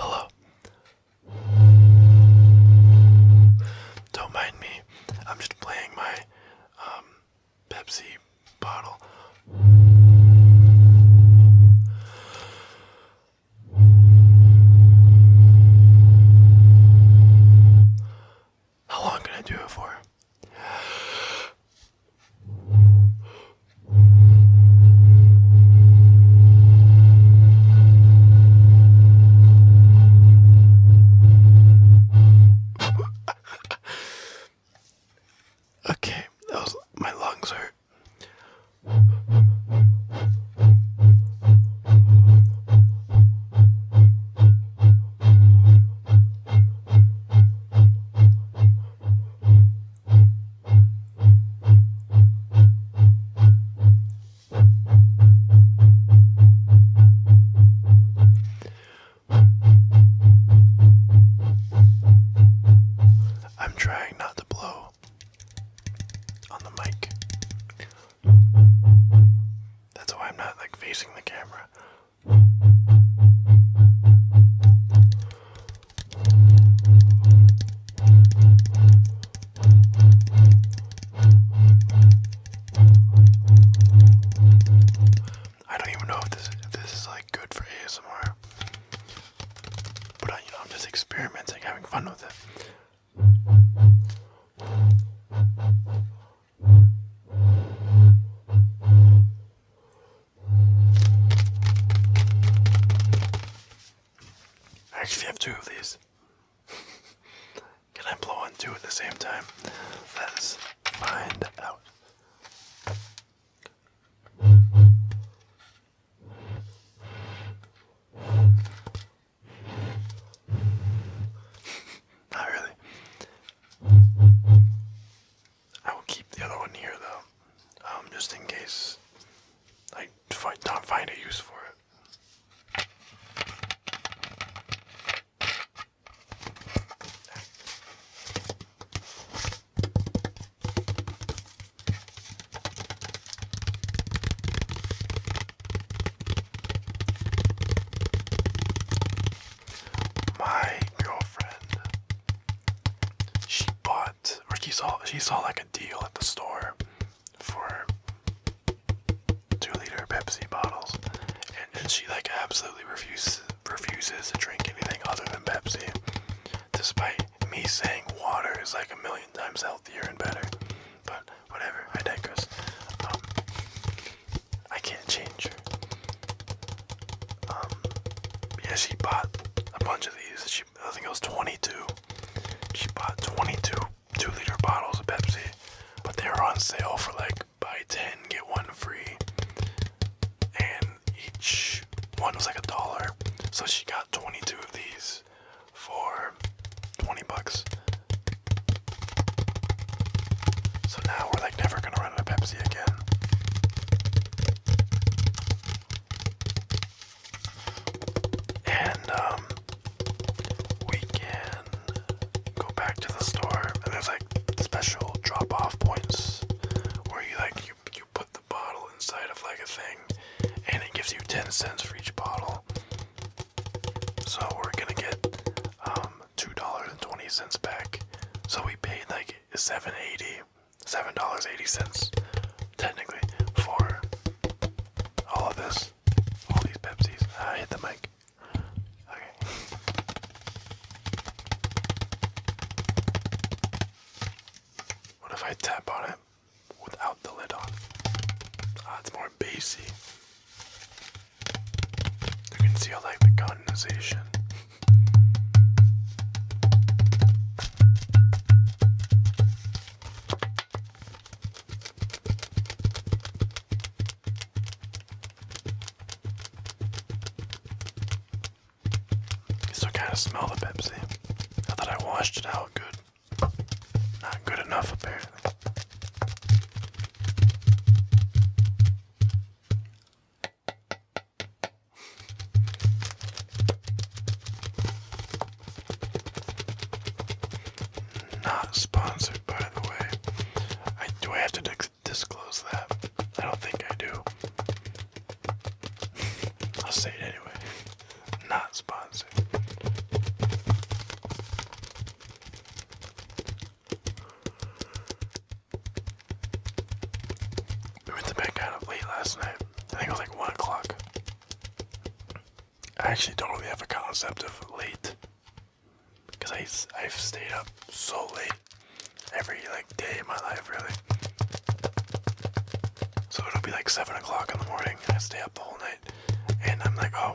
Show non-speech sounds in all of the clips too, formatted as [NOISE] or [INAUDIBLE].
Hello. Don't mind me. I'm just playing my um, Pepsi bottle. How long can I do it for? [LAUGHS] okay, that was my lungs hurt. I'm trying not to blow on the mic. That's why I'm not like facing the camera. I don't even know if this this is like good for ASMR, but uh, you know I'm just experimenting, having fun with it. I actually have two of these. Can I blow on two at the same time? Let's find out. Not really. I will keep the other one here though, um, just in case I don't find a use for it. My girlfriend, she bought or she saw she saw like a deal at the store for two liter Pepsi bottles, and, and she like absolutely refuses refuses to drink anything other than Pepsi, despite me saying water is like a million times healthier and better. But whatever, I digress. Um, I can't change her. Um, yeah, she bought a bunch of these. She, I think it was 22. She bought 22 two liter bottles of Pepsi, but they were on sale for like buy 10, get one free. And each one was like a dollar. So she got 22 of these for 20 bucks. So now we're like never gonna run out of Pepsi again. And um we can go back to the store and there's like special drop off points where you like you you put the bottle inside of like a thing and it gives you 10 cents for each bottle. So we're gonna get um, two dollars and twenty cents back. So we paid like seven eighty, seven dollars eighty cents, technically, for all of this, all these Pepsis. I ah, hit the mic. Okay. What if I tap on it without the lid on? Ah, it's more more bassy. You can see I like the condensation. still kind of smell the Pepsi. Now that I washed it out good. Not good enough, apparently. Not sponsored, by the way. do I have to disclose that? I don't think I do. I'll say it anyway. Not sponsored. We went to bed kind of late last night. I think it was like 1 o'clock. I actually don't really have a concept of late. Because I, have stayed up so late every like day of my life, really. So it'll be like 7 o'clock in the morning, and I stay up the whole night. And I'm like, oh,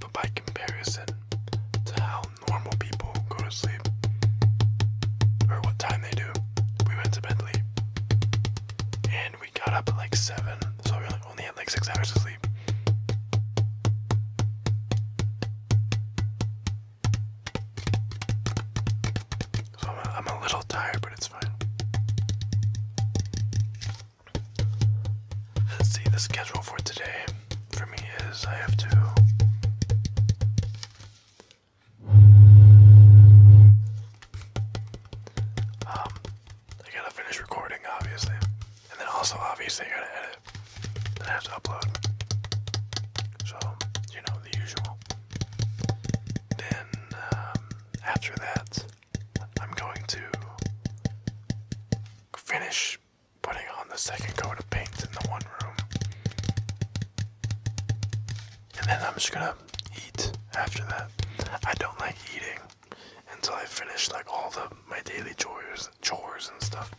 But by comparison to how normal people go to sleep, or what time they do, we went to bed late. And we got up at like 7, so we were like, only had like six hours of sleep. So I'm I'm a little tired, but it's fine. Let's see, the schedule for today for me is I have to. Um, I gotta finish recording, obviously. And then also, obviously, I gotta edit. Then I have to upload. So, you know, the usual. Then, um, after that, I'm going to finish putting on the second coat of paint in the one room. And then I'm just gonna eat after that. I don't like eating until I finish like all the my daily chores, chores and stuff.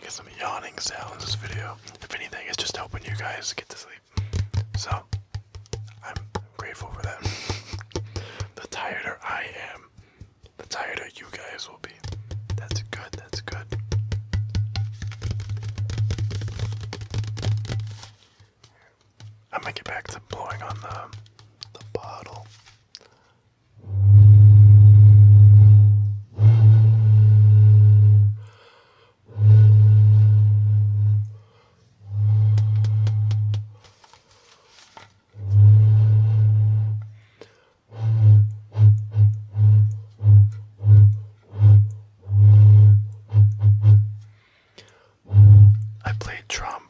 Get some yawning sounds this video. If anything, it's just helping you guys get to sleep. So, I'm grateful for that. [LAUGHS] the tireder I am, the higher you guys will be. That's good, that's good. I might get back to blowing on the, the bottle. I played trombone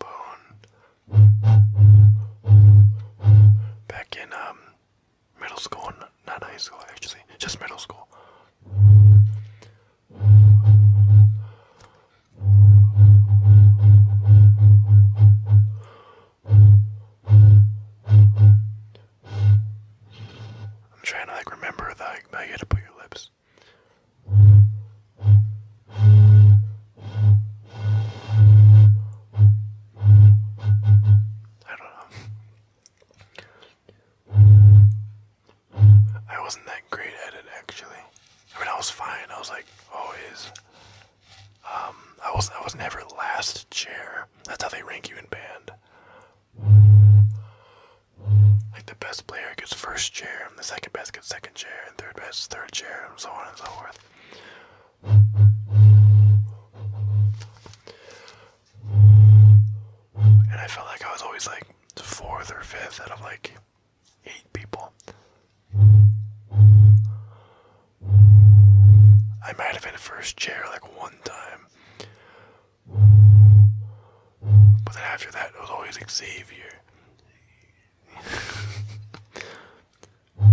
back in um, middle school, not high school actually, just middle school. I'm trying to like remember the like, how you had to put your lips. I don't know. I wasn't that great at it actually. I mean, I was fine. I was like always um, I was I was never last chair. That's how they rank you in band. Like the best player gets first chair, the second best gets second chair, and third best third chair, and so on and so forth. And I felt like I was always like fourth or fifth out of like eight people. I might have been a first chair like one time. But then after that, it was always Xavier. [LAUGHS] I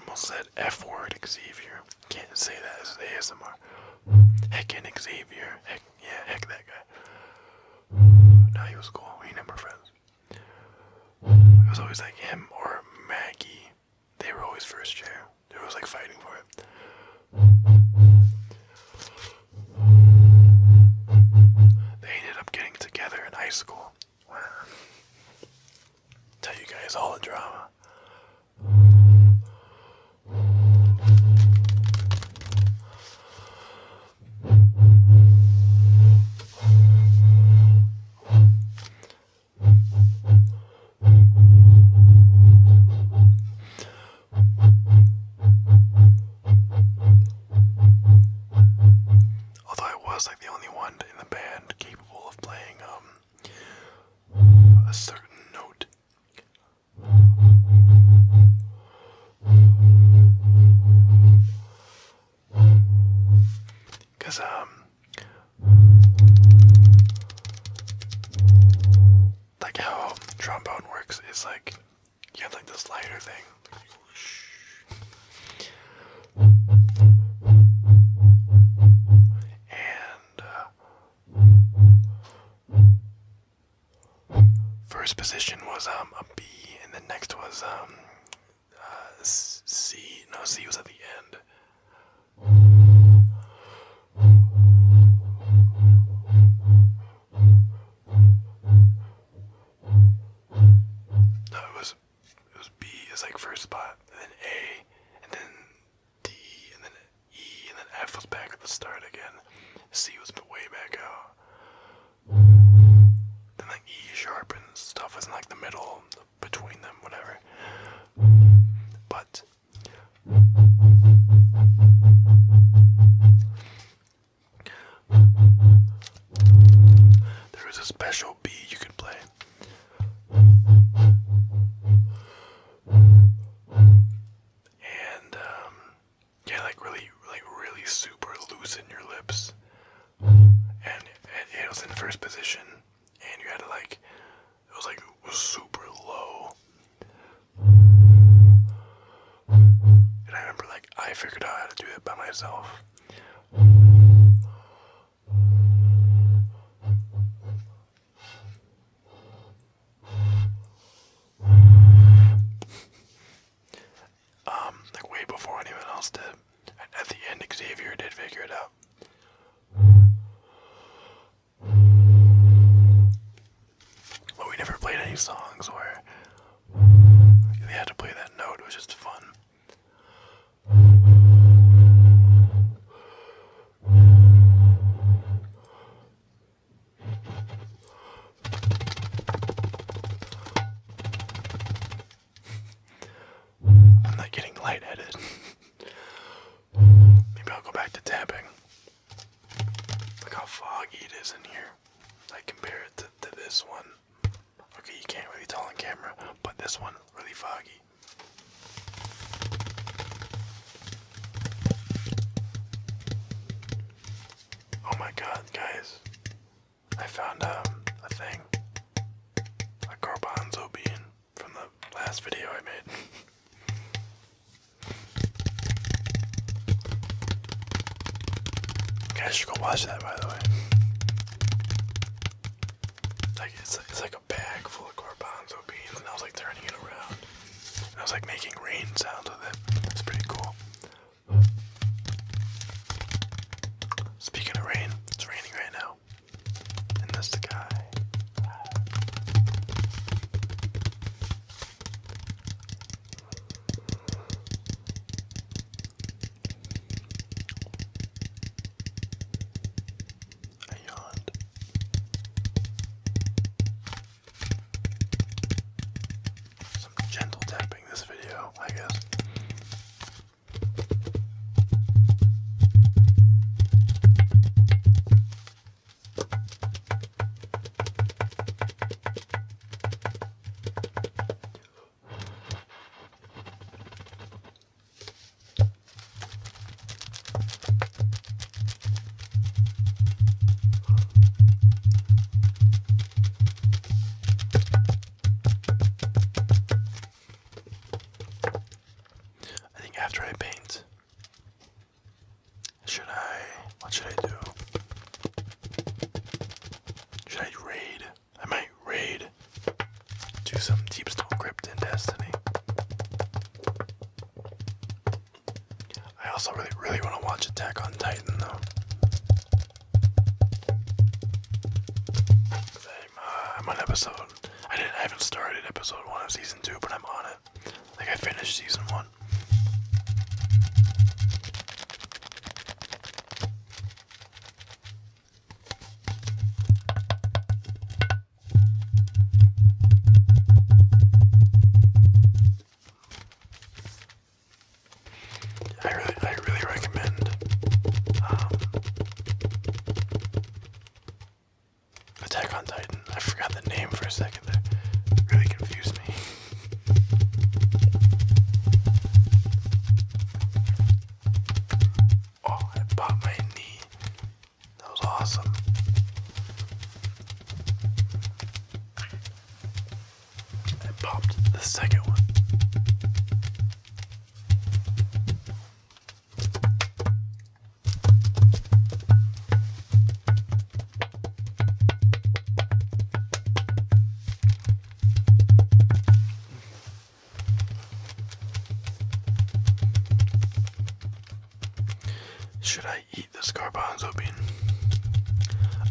almost said F word Xavier. Can't say that as ASMR. Heckin' Xavier. Heck, yeah, heck that guy. Now he was cool. We never friends. [SIGHS] It was always like him or Maggie. They were always first chair. They were always like fighting for it. They ended up getting together in high school. [SIGHS] Tell you guys all the drama. Although I was like the only one in the band capable of playing um, a certain note. Because, um, like how trombone works is like you have like this lighter thing. And uh, first position was um, a B, and the next was um, uh, C. No, C was at the end. No, was it was B is like first spot, then A, and then D, and then E, and then F was back at the start again. C was way back out. Then like E sharp and stuff is like the middle between them, whatever. But there is a special B you can play. And um, yeah, like really like really super loosen your lips and it, was in first position, and you had to like, it was like super low. And I remember like I figured out how to do it by myself. Um, like way before anyone else did. And at the end, Xavier did figure it out. But we never played any songs where they had to play that note. It was just fun. I'm not getting lightheaded. Maybe I'll go back to tapping. Look how foggy it is in here. I compare it to this one. Okay, you can't really tell on camera, but this one really foggy. Oh my god, guys. I found um, a thing, a garbanzo bean from the last video I made. You guys should go watch that, by the way. Like it's, it's like a bag full of garbanzo beans, and I was like turning it around. I was like making rain sounds with it. It's pretty cool. Speaking of rain, it's raining right now. And that's the guy. I yawned some gentle tapping this video, I guess. I think after I paint, should I? What should I do? Should I raid? I might raid. Do some deep stone crypt in Destiny. I also really, really want to watch Attack on Titan though i uh, I'm on episode. I didn't. I haven't started episode one of season two, but I'm on it. Like I finished season one. I really, I really recommend. Um, Attack on Titan. I forgot the name for a second really confused me. [LAUGHS] Oh, I popped my knee. That was awesome. I popped the second one. Should I eat this garbanzo bean?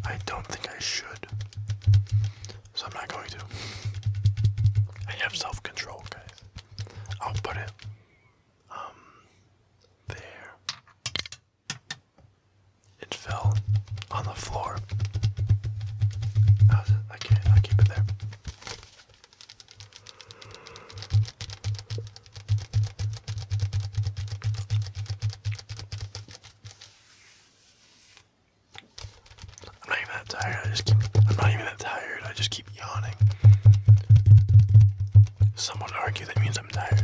I don't think I should. So I'm not going to. I have self control, guys. I'll put it um there. It fell on the floor. I can't. I'll keep it there. I'm not even that tired. I just keep. I'm not even that tired. I just keep yawning. Someone argue that means I'm tired.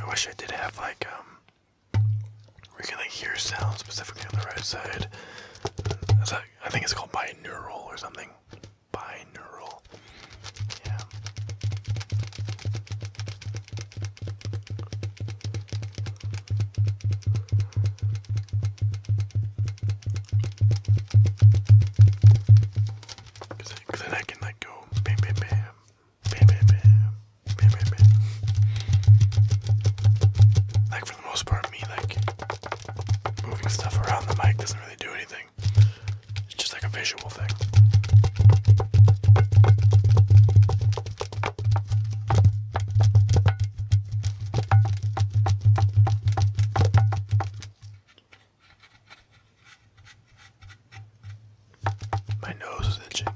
I wish I did have like um we can like hear sound specifically on the right side. I think it's called binaural or something. Binaural. Yeah. Cause then I can like go bam bam bam bam bam bam bam bam bam. Like for the most part me like moving stuff around the mic doesn't really do anything. It's just like a visual thing. My nose is itching.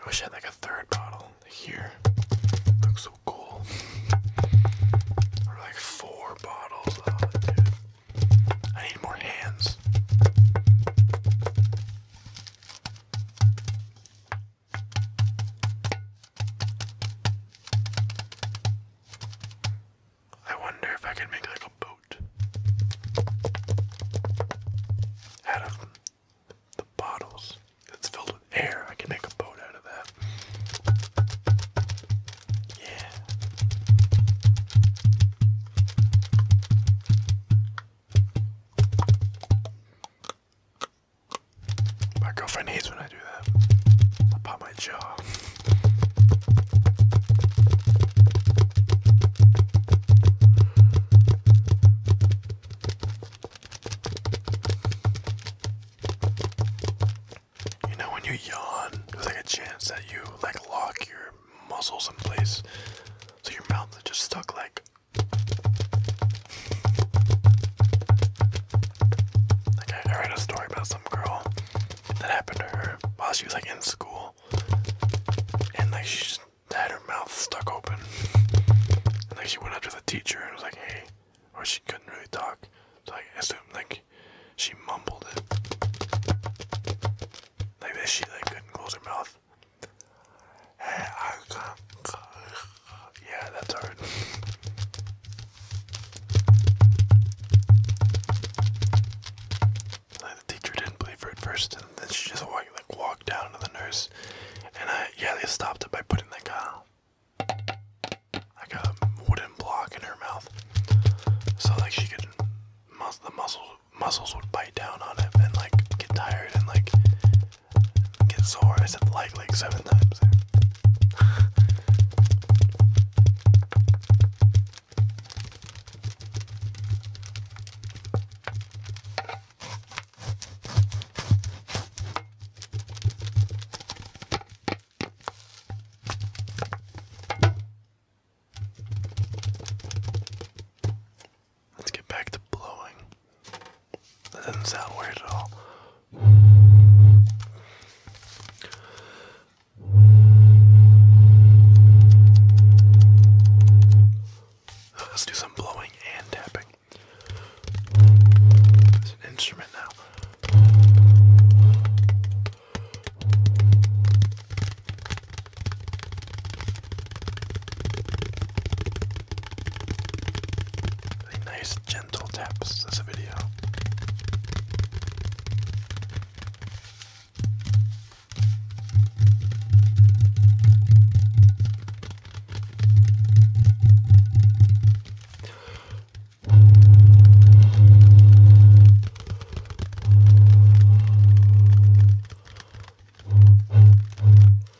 I wish I had like a third bottle here. Looks so cool. Or like four bottles. Oh, I need more hands. I wonder if I could make like a boat out of the bottles. It's filled with air. I can make a boat out of that. Yeah. My girlfriend hates when I do that. I pop my jaw. You know when you yawn, there's like a chance that you like lock your muscles in place. So your mouth just stuck like like I, I read a story about some girl that happened to her while she was like in school, and like she just had her mouth stuck open, and like she went up to the teacher and was like, "Hey," or she couldn't really talk, so like I assume like she mumbled it, like that she like couldn't close her mouth. Yeah, that's alright. Like the teacher didn't believe her at first, and then she just like walked down to the nurse, and I yeah they stopped it by putting like a like a wooden block in her mouth, so like she could the muscles muscles would bite down on it and like get tired and like get sore. I said like like seven times Let's get back to blowing. That doesn't sound weird at all. Let's do some blowing and tapping. It's an instrument now. Really nice gentle taps as a video.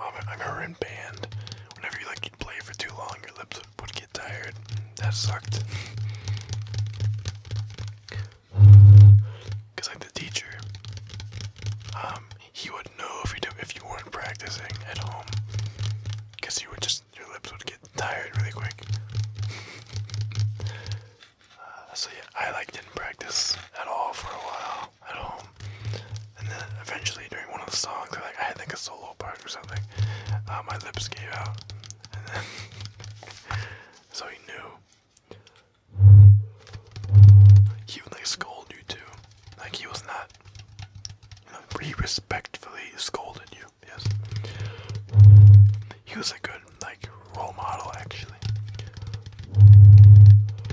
Oh, I remember in band, whenever you like you'd play for too long, your lips would, get tired. That sucked. Cause I'm the teacher, um, he would know if you if you weren't practicing at home, cause you would just your lips would get tired really quick. Uh, so yeah, I like didn't practice at all for a while at home. And then eventually, during one of the songs, I like I had like a solo part or something. Uh, my lips gave out, and then [LAUGHS] so he knew. He would like scolded you too. Like he was not. he respectfully scolded you. Yes. He was a good like role model actually.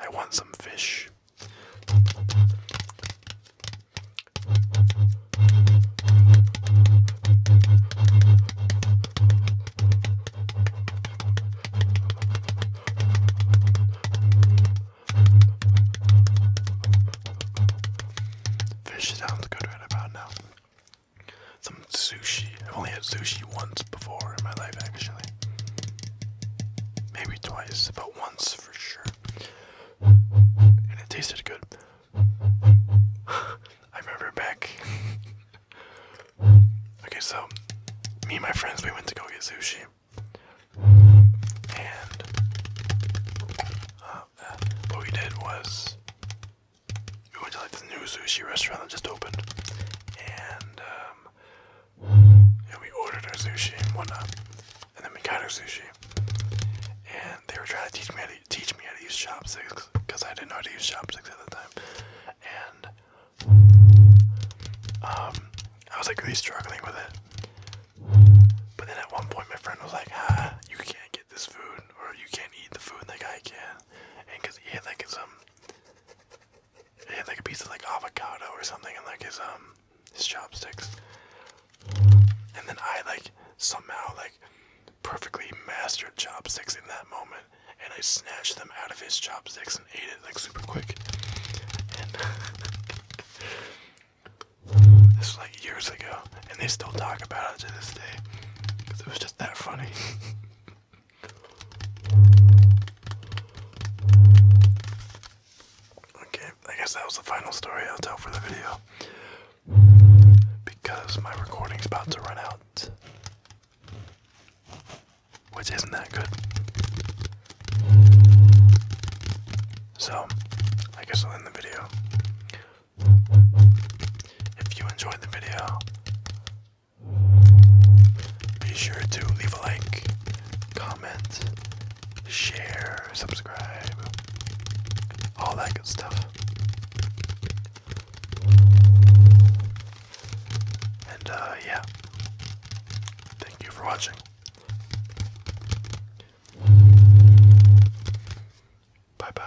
I want some fish. Fish sounds good right about now. Some sushi. I've only had sushi once before in my life, actually. Maybe twice, but once for sure. And it tasted good. [LAUGHS] I remember back. [LAUGHS] okay, so me and my friends, we went to go get sushi. And uh, what we did was we went to like this new sushi restaurant that just opened. And um, and we ordered our sushi and whatnot, and then we got our sushi, and they were trying to teach me how to teach me how to use chopsticks because I didn't know how to use chopsticks at the time, and um, I was like really struggling with it. But then at one point, my friend was like, "Ah, you can't get this food, or you can't eat the food like I can," and because he had like some he had like a piece of like avocado or something and like his um his chopsticks. And then I like somehow like perfectly mastered chopsticks in that moment and I snatched them out of his chopsticks and ate it like super quick. And [LAUGHS] this was like years ago and they still talk about it to this day. Cause it was just that funny. [LAUGHS] Okay, I guess that was the final story I'll tell for the video. Because my recording's about to run out. Which isn't that good. So, I guess I'll end the video. If you enjoyed the video, be sure to leave a like, comment, share, subscribe, all that good stuff. And uh, yeah, thank you for watching. Bye bye.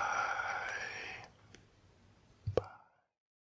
Bye.